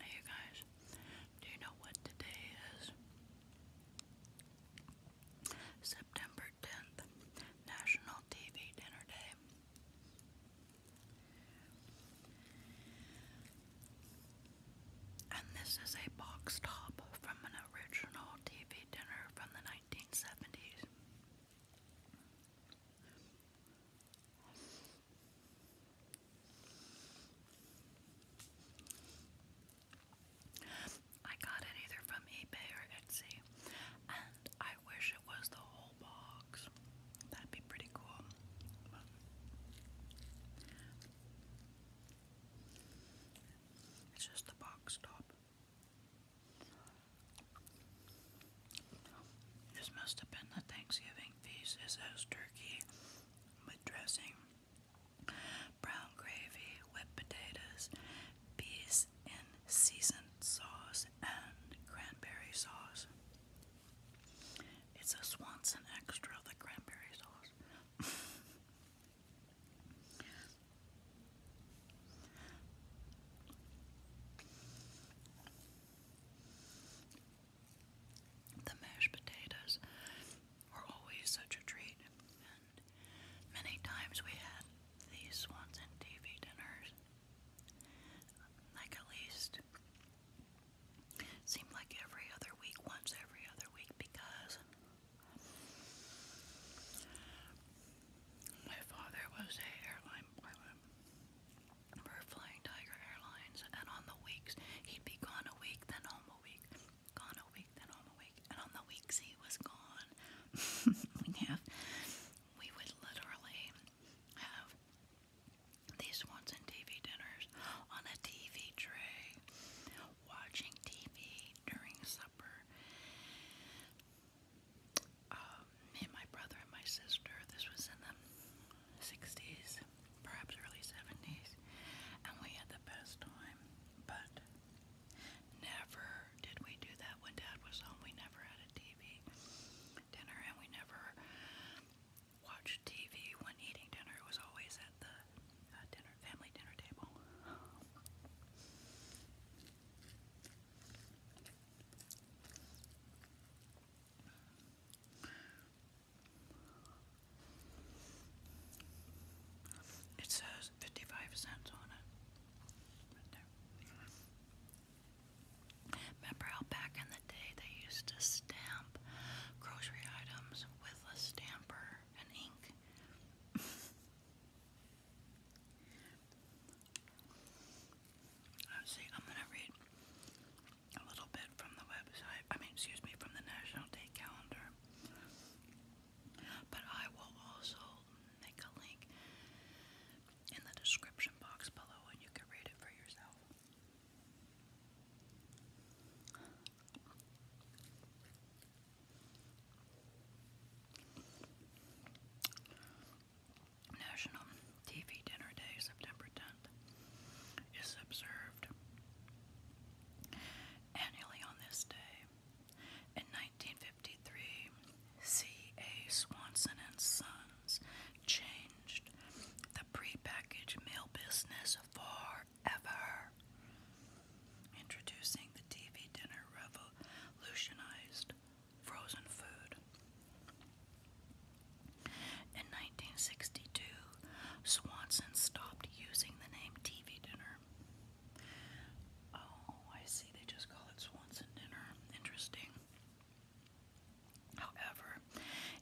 Hey, you guys, do you know what today is? September 10th, National TV Dinner Day. And this is a box top from an original TV dinner from the 1970s. I got it either from eBay or Etsy, and I I wish it was the whole box. That'd be pretty cool. it's just the box top. This must have been the Thanksgiving feast. It turkey with dressing, brown gravy, whipped potatoes, peas in seasoned sauce, and cranberry sauce. It's a Swanson extra, the cranberry sauce. the mashed potatoes were always such a treat, and many times we had these Swanson TV dinners. Like at least seemed like every other week, once every other week, because my father was a airline pilot for flying Tiger Airlines, and on the weeks he'd be gone a week, then home a week, gone a week, then home a week, and on the weeks he was gone, we'd have we would literally have these once in TV dinners on a TV tray, watching TV during supper. Um, and my brother and my sister, this was in the 60s, perhaps early 70s, and we had the best time. But Never did we do that when Dad was home. We never had a TV dinner, and we never watched TV when eating dinner. It was always at the uh, dinner family dinner table. It says 55 cents on it. Remember how back in the day they used to stamp grocery items with a stamper and ink? Oh, see, I'm gonna read a little bit from the website, I mean, excuse me, from the National Day Calendar. But I will also make a link in the description box below and you can read it for yourself. National TV Dinner Day, September 10th, is observed annually on this day in 1953, C.A. Swanson and Sons changed the prepackaged meal business forever. Introducing the TV dinner revolutionized frozen food. In 1962, Swanson stopped using the name TV dinner Oh, I see. They just call it Swanson dinner. Interesting. However,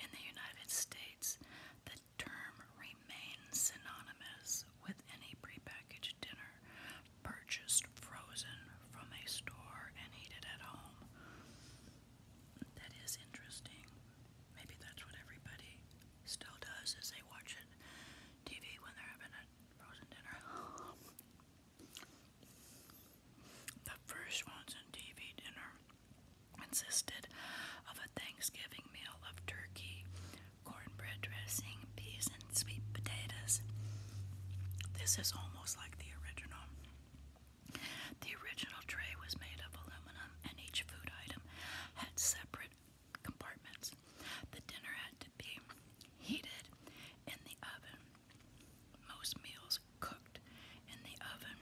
in the United States, the term remains synonymous with any prepackaged dinner purchased frozen from a store and heated at home. That is interesting. Maybe that's what everybody still does is they watch it TV when they're having a frozen dinner. the first Swanson TV dinner consisted of a Thanksgiving meal of turkey, cornbread dressing, peas, and sweet potatoes. This is almost like the original. The original tray was made of aluminum, and each food item had separate compartments. The dinner had to be heated in the oven. Most meals cooked in the oven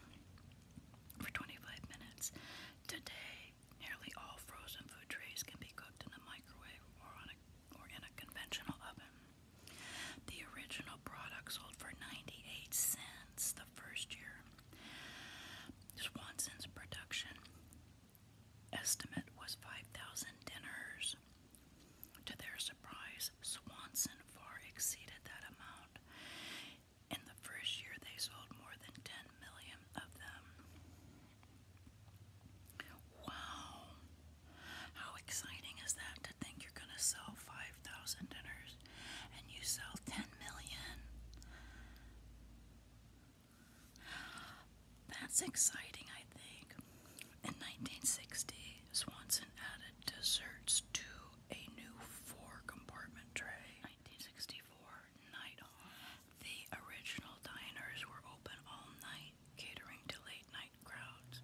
for 25 minutes. Today, nearly all frozen food trays can be cooked in the microwave or, in a conventional oven. The original product sold for 98 cents the first year. Swanson's production estimate was 5,000 dinners. To their surprise, Swanson far exceeded that amount. In the first year, they sold more than 10 million of them. Wow! How exciting is that to think you're going to sell 5,000 dinners? and you sell 10 million. That's exciting, I think. In 1960, Swanson added desserts to a new four compartment tray. 1964, night The original diners were open all night, catering to late night crowds.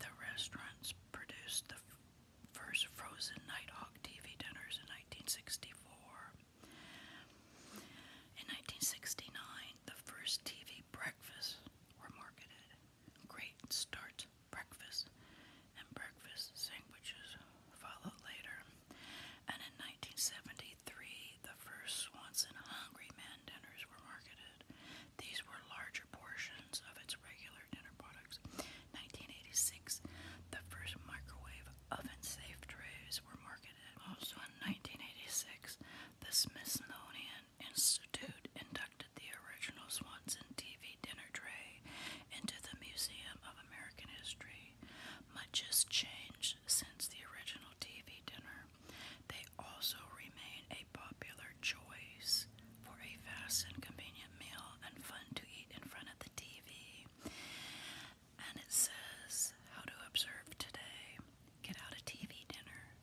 The restaurants produced the first Frozen night hawk TV dinners in 1964. In 1969, the first TV breakfasts were marketed. Great Start Breakfast and breakfast sandwiches followed later. And in 1973, the first Swanson Hungry Man dinners were marketed. These were larger portions of its regular dinner products 1986, the first microwave oven-safe trays were marketed. Also in 1986, the Smithsonian Institute inducted the original Swanson TV dinner tray into the Museum of American History. Much has changed since the original TV dinner. They also remain a popular choice for a fast and convenient meal and fun to eat in front of the TV. And it says, How to observe today. Get out a TV dinner,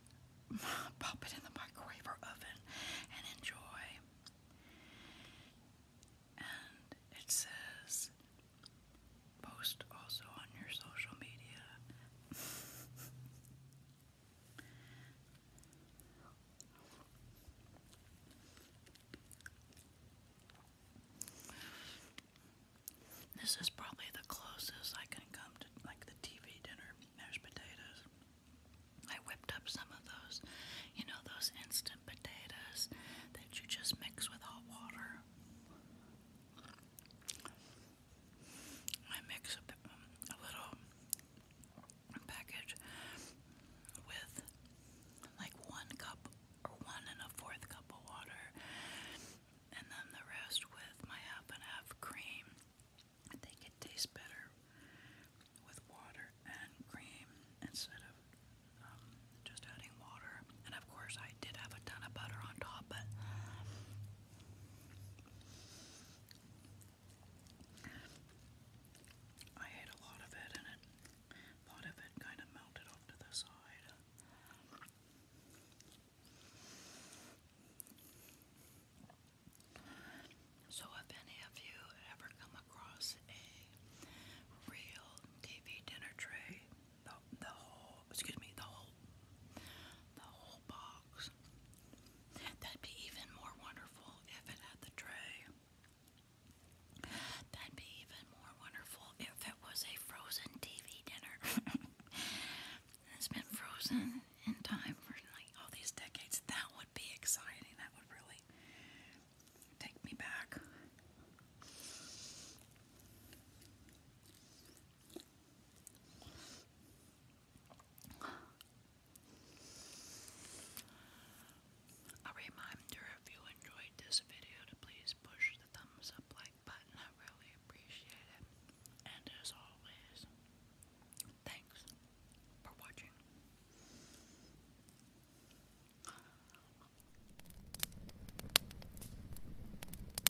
pop it in the microwave or oven, and enjoy. And it says, Post also on your social media. This is probably the closest I can come to like the TV dinner There's potatoes. I whipped up some of those, you know, those instant potatoes that you just mix with hot water. I mix a, um, a little package with like one cup or one and a fourth cup of water, and then the rest with my half and half cream. I think it tastes better with water and cream instead of um, just adding water. And of course, I did have a ton of butter on top, but I ate a lot of it, and a lot of it kind of melted off the side. So, if any of you ever come across a real TV dinner tray, the whole, excuse me, the whole, the whole box. That'd be even more wonderful if it had the tray. That'd be even more wonderful if it was a frozen TV dinner. it's been frozen in time for like all these decades. That would be exciting. That would really take me back. A reminder if you enjoyed this video to please push the thumbs up like button. I really appreciate it. And as always, thanks for watching.